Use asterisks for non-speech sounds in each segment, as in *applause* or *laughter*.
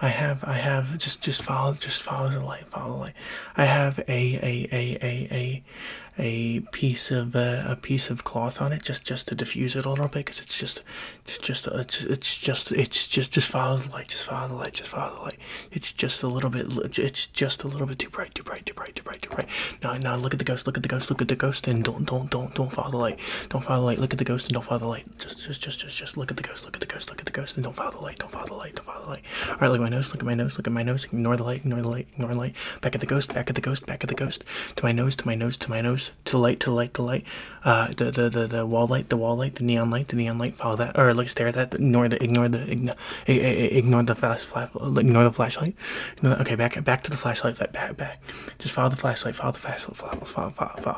I have I have just just follow just follow the light, follow the light. I have a a a a a a piece of uh, a piece of cloth on it just just to diffuse it a little bit because it's just it's just uh, it's just it's just it's just just follow the light, just follow the light, just follow the light. It's just a little bit it's just a little bit too bright, too bright, too bright, too bright, too bright. Now now look at the ghost, look at the ghost, look at the ghost, and don't don't don't don't follow the light, don't follow the light. Look at the ghost and don't follow the light. Just, just, just, just, just look at the ghost. Look at the ghost. Look at the ghost. And don't follow the light. Don't follow the light. Don't follow the light. All right, look at my nose. Look at my nose. Look at my nose. Ignore the light. Ignore the light. Ignore the light. Back at the ghost. Back at the ghost. Back at the ghost. To my nose. To my nose. To my nose. To the light. To the light. To the light. Uh, the, the, the, the wall light. The wall light. The neon light. The neon light. Follow that. Or like stare at that. Ignore the. Ignore the. Ignore, ignore the flash. Ignore the flashlight. Okay, back, back to the flashlight. Back, back. Just follow the flashlight. Follow the flashlight. Follow, follow, follow, follow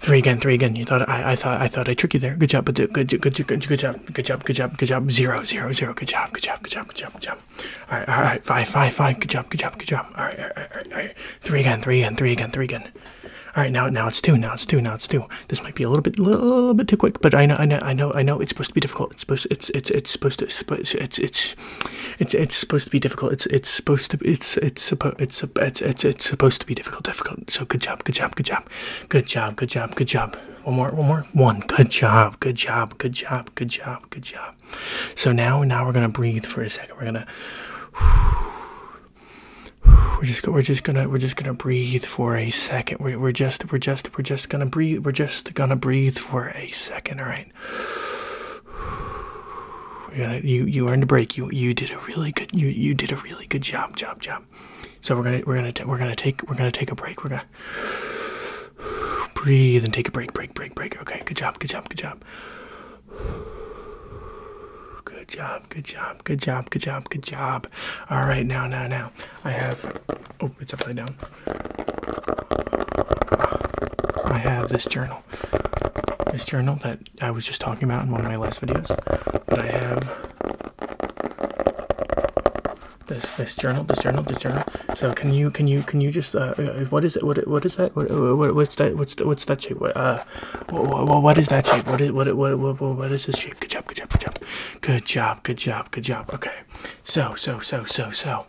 Three again, three again. You thought I, I thought I thought I tricked you there. Good job, but good, good, good, good, good job, good job, good job, good job. Zero, zero, zero. Good job, good job, good job, good job, good job. All right, all right. Five, five, five. Good job, good job, good job. All right, all right, all right. All right. Three again, three again, three again, three again. All right, now now it's two, now it's two, now it's two. This might be a little bit, little, little bit too quick, but I know, I know, I know, I know. It's supposed to be difficult. It's supposed, it's, it's, it's supposed to, it's, it's, it's it's it's supposed to be difficult. It's it's supposed to it's it's it's it's it's it's supposed to be difficult. Difficult. So good job. Good job. Good job. Good job. Good job. Good job. One more. One more. One. Good job. Good job. Good job. Good job. Good job. So now now we're gonna breathe for a second. We're gonna. We're just we're just gonna we're just gonna breathe for a second. We're we're just we're just we're just gonna breathe. We're just gonna breathe for a second. All right you you earned a break. You you did a really good you you did a really good job job job. So we're gonna we're gonna we're gonna take we're gonna take a break. We're gonna breathe and take a break break break break. Okay, good job good job good job. Good job good job good job good job good job. All right now now now I have oh it's upside down. I have this journal now this journal that I was just talking about in one of my last videos. But I have this this journal, this journal, this journal. So can you can you can you just uh, uh, uh what is it? What what is that? Uh, what, what what's that? What's what's that shape? What, uh, what, what, what is that shape? What is what what what what is this shape? Good job, good job, good job, good job, good job, good job. Okay, so so so so so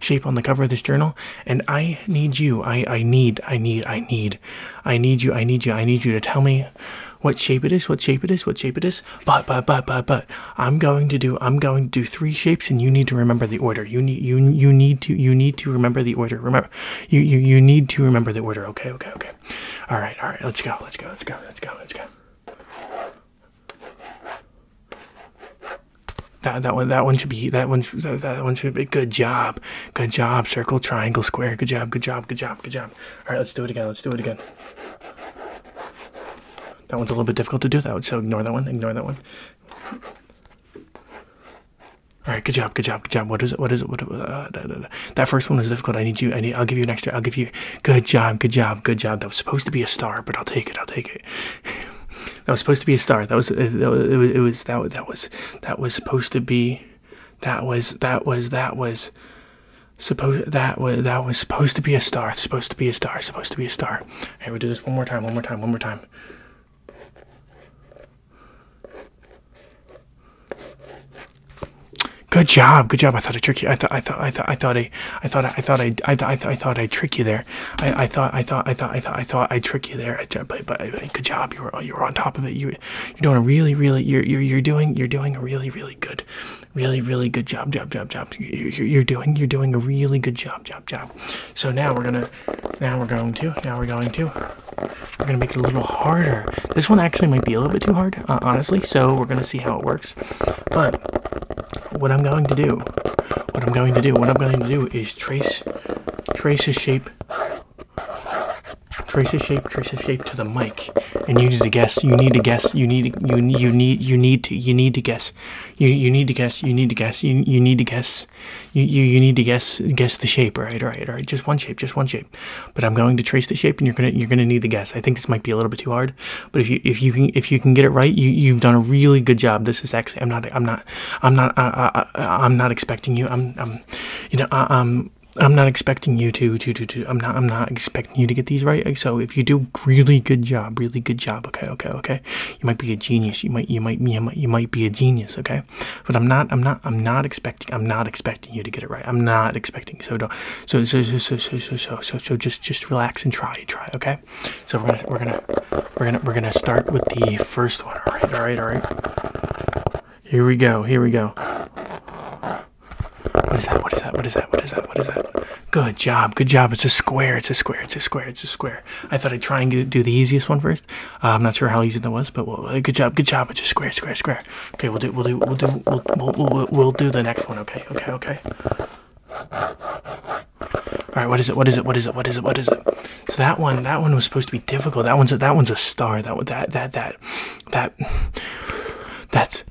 shape on the cover of this journal. And I need you. I, I need, I need, I need, I need you, I need you, I need you to tell me what shape it is, what shape it is, what shape it is. But but but but but I'm going to do I'm going to do three shapes and you need to remember the order. You need you you need to you need to remember the order. Remember you you, you need to remember the order. Okay, okay, okay. Alright, alright, let's go, let's go, let's go, let's go, let's go. That, that one that one should be that one that, that one should be good job good job circle triangle square good job good job good job good job all right let's do it again let's do it again that one's a little bit difficult to do that so ignore that one ignore that one all right good job good job good job what is it what is it what uh, da, da, da. that first one was difficult I need you I need I'll give you an extra I'll give you good job good job good job that was supposed to be a star but I'll take it I'll take it that was supposed to be a star. That was it. Was, it was that. That was that was supposed to be. That was that was that was supposed that was that was supposed to be a star. Supposed to be a star. Supposed to be a star. Hey, we do this one more time. One more time. One more time. Good job, good job. I thought I tricked you. I thought I thought I thought I thought I I thought I I, I, I thought I tricked you there. I, thought, I thought, I thought, I thought, I thought I tricked you there. but, good job. You were, you were on top of it. You, you're doing a really, really, you're, you're, you're doing, you're doing a really, really good, really, really good job, job, job, job. You're, doing, you're doing a really good job, job, job. So now we're gonna, now we're going to, now we're going to, we're gonna make it a little harder. This one actually might be a little bit too hard, uh, honestly. So we're gonna see how it works. But what I'm going to do, what I'm going to do, what I'm going to do is trace trace a shape trace a shape trace a shape to the mic and you need to guess you need to guess you need to, you need you need to you need to guess you need to guess you need to guess you need to guess you need to guess guess the shape Right. Right. Right. just one shape just one shape but i'm going to trace the shape and you're gonna you're gonna need the guess i think this might be a little bit too hard but if you if you can if you can get it right you've done a really good job this is actually i'm not i'm not i'm not I, am not expecting you i'm you know i'm i'm not expecting you to to to to i'm not i'm not expecting you to get these right so if you do really good job really good job okay okay okay you might be a genius you might you might you might you might be a genius okay but i'm not i'm not i'm not expecting i'm not expecting you to get it right i'm not expecting so don't so so so so so so so, so just just relax and try try okay so we're gonna we're gonna we're gonna we're gonna start with the first one. All right, all right, all right. Here we go. Here we go. What is that? What is that? What is that? What is that? What is that? Good job. Good job. It's a square. It's a square. It's a square. It's a square. I thought I'd try and do the easiest one first. Uh, I'm not sure how easy that was, but good job. Good job. It's a square. Square. Square. Okay, we'll do. We'll do. We'll do. we'll do the next one. Okay. Okay. Okay. All right, what is it? What is it? What is it? What is it? What is it? So that one, that one was supposed to be difficult. That one's a, that one's a star. That that that that that that's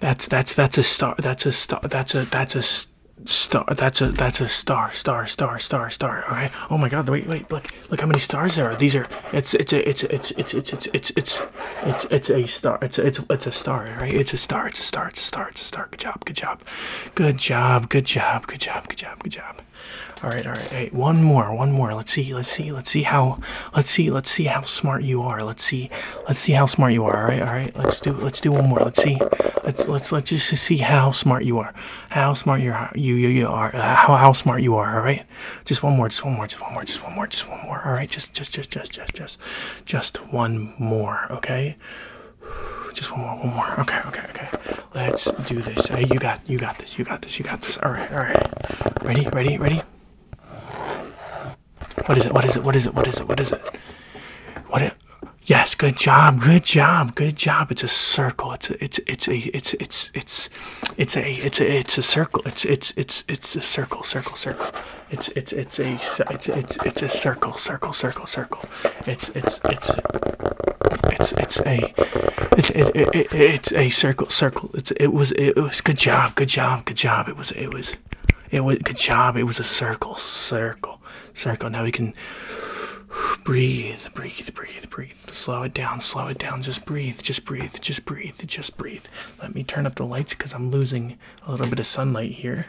that's that's that's a star. That's a star. That's a that's a star. That's a that's a star. Star. Star. Star. Star. All right. Oh my God! Wait, wait. Look, look how many stars there are. These are. It's it's a it's it's it's it's it's it's it's it's it's a star. It's it's it's a star. Right? It's a star. It's a star. It's a star. It's a star. Good job. Good job. Good job. Good job. Good job. Good job. Good job. All right. All right. Hey, one more. One more. Let's see. Let's see. Let's see how. Let's see. Let's see how smart you are. Let's see. Let's see how smart you are. All right. All right. Let's do. Let's do one more. Let's see. Let's let's let's just see how smart you are. How smart you are. You you are. Uh, how how smart you are. All right. Just one more. Just one more. Just one more. Just one more. Just one more. All right. Just just just just just just just one more. Okay. *sighs* Just one more, one more. Okay, okay, okay. Let's do this. Hey, you got, you got this. You got this. You got this. All right, all right. Ready, ready, ready. What is it? What is it? What is it? What is it? What is it? What? It? Yes. Good job. Good job. Good job. It's a circle. It's a, it's it's a it's it's it's it's a it's a it's a circle. It's it's it's it's a circle. Circle. Circle. It's it's it's a it's it's it's a circle. Circle. Circle. Circle. It's it's it's it's it's a it's it, it, it's a circle circle. It's it was it was good job good job good job. It was it was it was good job. It was a circle circle circle. Now we can breathe breathe breathe breathe. Slow it down slow it down. Just breathe just breathe just breathe just breathe. Let me turn up the lights because I'm losing a little bit of sunlight here.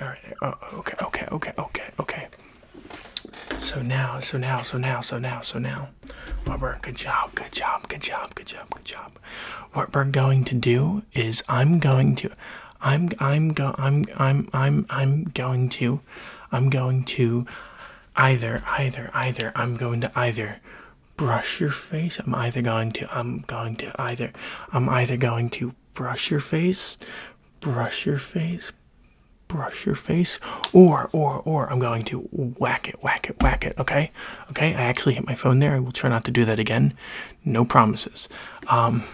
all right. okay, okay, okay, okay, okay. So now, so now, so now, so now, so now. What good job, good job, good job, good job, good job. What we're going to do is I'm going to I'm I'm go I'm I'm I'm I'm going to I'm going to either either either I'm going to either brush your face. I'm either going to I'm going to either I'm either going to brush your face brush your face, brush your face, or, or, or I'm going to whack it, whack it, whack it, okay? Okay, I actually hit my phone there. I will try not to do that again. No promises. Um,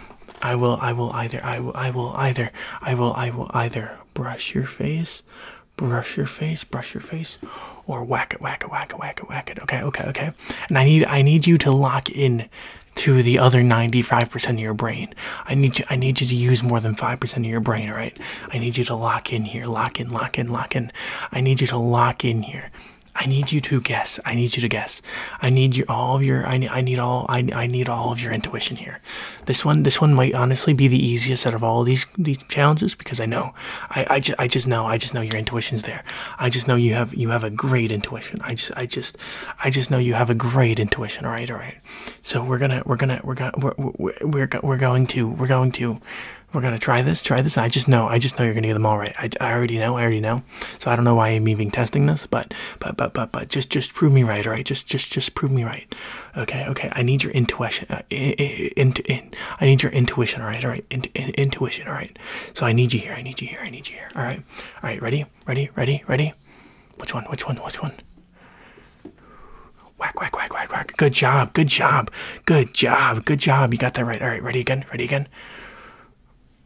I will, I will either, I will, I will either, I will, I will either brush your face, brush your face, brush your face, or whack it, whack it, whack it, whack it, whack it. Okay, okay, okay. And I need, I need you to lock in to the other 95% of your brain. I need you I need you to use more than 5% of your brain, all right? I need you to lock in here. Lock in, lock in, lock in. I need you to lock in here. I need you to guess. I need you to guess. I need your all of your I need I need all I, I need all of your intuition here. This one this one might honestly be the easiest out of all these these challenges because I know I I, ju I just know I just know your intuition's there. I just know you have you have a great intuition. I just I just I just know you have a great intuition. All right, all right. So we're gonna we're gonna we're gonna we're we're we're, we're going to we're going to we're gonna try this try this. I just know I just know you're gonna get them all right. I, I already know I already know. So I don't know why I'm even testing this, but but but but but just just prove me right. All right, just just just prove me right. Okay okay. I need your intuition. Uh, in, I need your intuition. All right all right. In, intuition. All right right. So I need you here. I need you here. I need you here. All right. All right. Ready? Ready? Ready? Ready? Which one? Which one? Which one? Whack, whack, whack, whack, whack. Good job. Good job. Good job. Good job. You got that right. All right. Ready again? Ready again?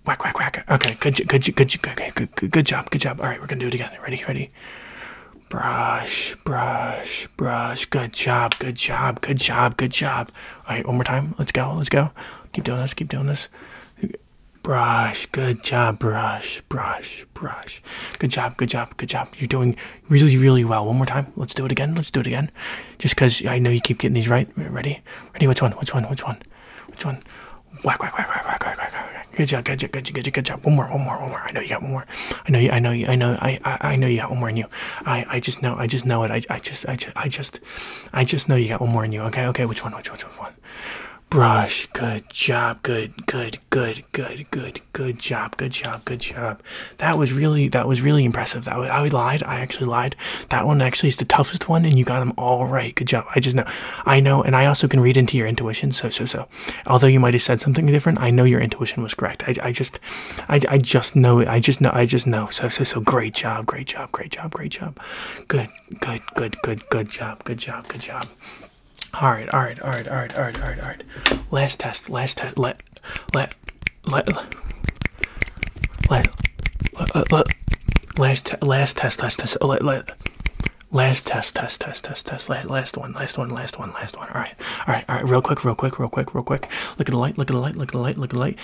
Whack, whack, whack. Okay. Good, good, good, good, good, good, good job. Good job. All right. We're going to do it again. Ready? Ready? Brush, brush, brush. Good job. Good job. Good job. Good job. All right. One more time. Let's go. Let's go. Keep doing this. Keep doing this. Brush, good job, brush, brush, brush. Good job, good job, good job. You're doing really, really well. One more time. Let's do it again. Let's do it again. Just because I know you keep getting these right. Ready? Ready? Which one? Which one? Which one? Which one? Whack, whack, whack, whack, whack, whack, whack, whack. Good job, good job, good job, good job, good job. One more, one more, one more. I know you got one more. I know you, I know you, I know, I, I, I know you got one more in you. I, I just know, I just know it. I, I just, I just, I just I just know you got one more in you. Okay, okay, which one? Which one? Which one? Brush. Good job. Good, good, good, good, good, good job. Good job. Good job. That was really that was really impressive. That was, I lied. I actually lied. That one actually is the toughest one, and you got them all right. Good job. I just know. I know, and I also can read into your intuition. So so so. Although you might have said something different, I know your intuition was correct. I I just, I I just know I just know. I just know. So so so. Great job. Great job. Great job. Great job job. Good, good, good, good, good job. Good job. Good job. All right, all right, all right, all right, all right, all right, all right. Last test. Last test. Let, let, let, let, let, let, let last, te last test. Last test. Let, let, last test. Test. Test. Test. Test. Last, last one. Last one. Last one. Last one. All right. All right. All right. Real quick. Real quick. Real quick. Real quick. Look at the light. Look at the light. Look at the light. Look at the light.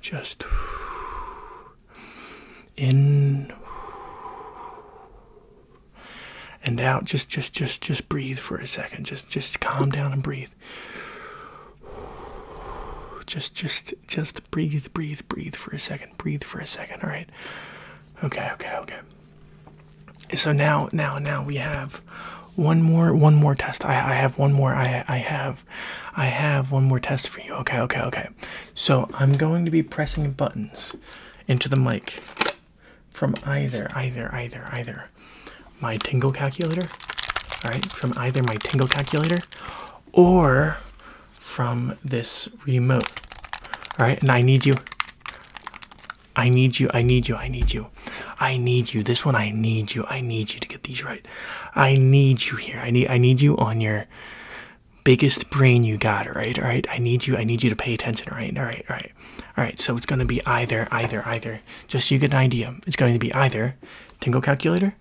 Just in and out. Just, just, just, just breathe for a second. Just, just calm down and breathe. Just, just, just breathe, breathe, breathe for a second. Breathe for a second. All right. Okay. Okay. Okay. So now, now, now we have one more, one more test. I, I have one more. I, I have I have one more test for you. Okay, okay, okay. So I'm going to be pressing buttons into the mic from either, either, either, either my tingle calculator. Alright, from either my tingle calculator or from this remote. Alright, and I need you. I need you, I need you, I need you. I need you. This one I need you. I need you to get these right. I need you here. I need I need you on your biggest brain you got, Right. All right. I need you. I need you to pay attention, Right. All right. All right. All right. So it's going to be either either either. Just you get an idea. It's going to be either Tingle calculator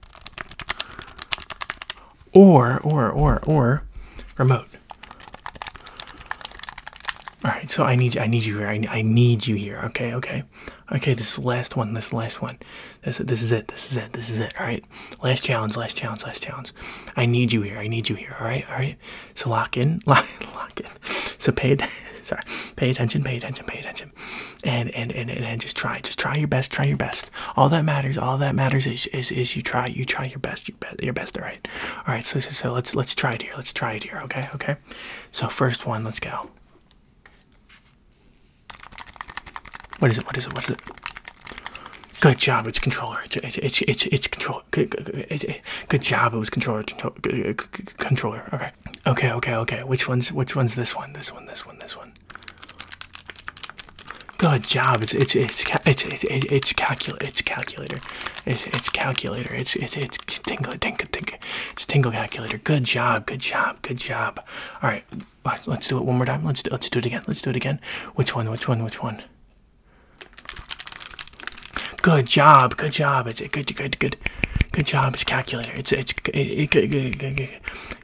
or or or or remote. All right. So I need you. I need you here. I I need you here. Okay. Okay okay this is the last one this last one this, this is it this is it this is it all right last challenge last challenge last challenge i need you here i need you here all right all right so lock in *laughs* lock, lock in so pay *laughs* sorry pay attention pay attention pay attention and and, and and and just try just try your best try your best all that matters all that matters is is, is you try you try your best your best your best all right all right so, so so let's let's try it here let's try it here okay okay so first one let's go what is it? What is it? What is it? Good job. It's controller. It's it's it's it's controller. Good, good, good, good job. It was controller. Controller. Okay. Okay. Okay. Okay. Which one's which one's this one? This one. This one. This one. Good job. It's it's it's it's it's it's calculator. It's calculator. It's it's it's it's tingle tingle tingle. It's tingle calculator. Good job. Good job job. Good job. All right. Let's do it one more time. Let's do, let's do it again. Let's do it again. Which one? Which one? Which one? Good job. Good job. It's good. Good. Good. Good job. It's calculator. It's it's it, good, good, good, good.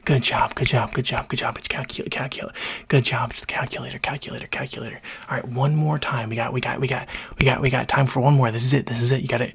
Good job. Good job. Good job. Good job. It's calculator. Calculator. Good job. It's the calculator. Calculator. Calculator. All right. One more time. We got. We got. We got. We got. We got time for one more. This is it. This is it. You got it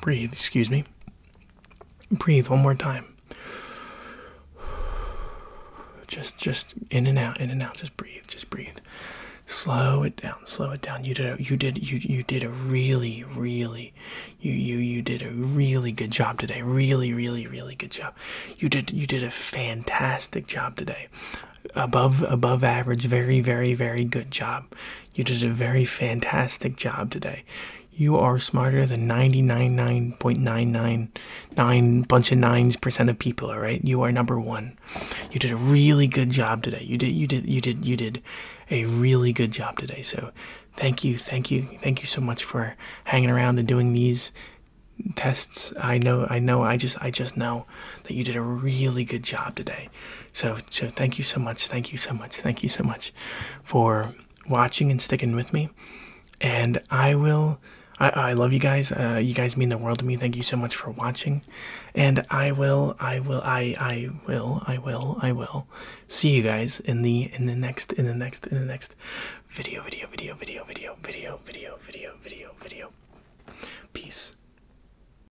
Breathe, excuse me. Breathe one more time. Just just in and out, in and out. Just breathe, just breathe. Slow it down, slow it down. You did a, you did you you did a really really you you you did a really good job today. Really really really good job. You did you did a fantastic job today. Above above average, very very very good job. You did a very fantastic job today. You are smarter than 99.999 bunch of nines percent of people. All right, you are number one. You did a really good job today. You did, you did, you did, you did a really good job today. So, thank you, thank you, thank you so much for hanging around and doing these tests. I know, I know, I just, I just know that you did a really good job today. So, so thank you so much, thank you so much, thank you so much for watching and sticking with me. And I will, I, I love you guys. Uh, you guys mean the world to me. Thank you so much for watching. And I will, I will, I, I will, I will, I will see you guys in the, in the next, in the next, in the next video, video, video, video, video, video, video, video, video, video. Peace.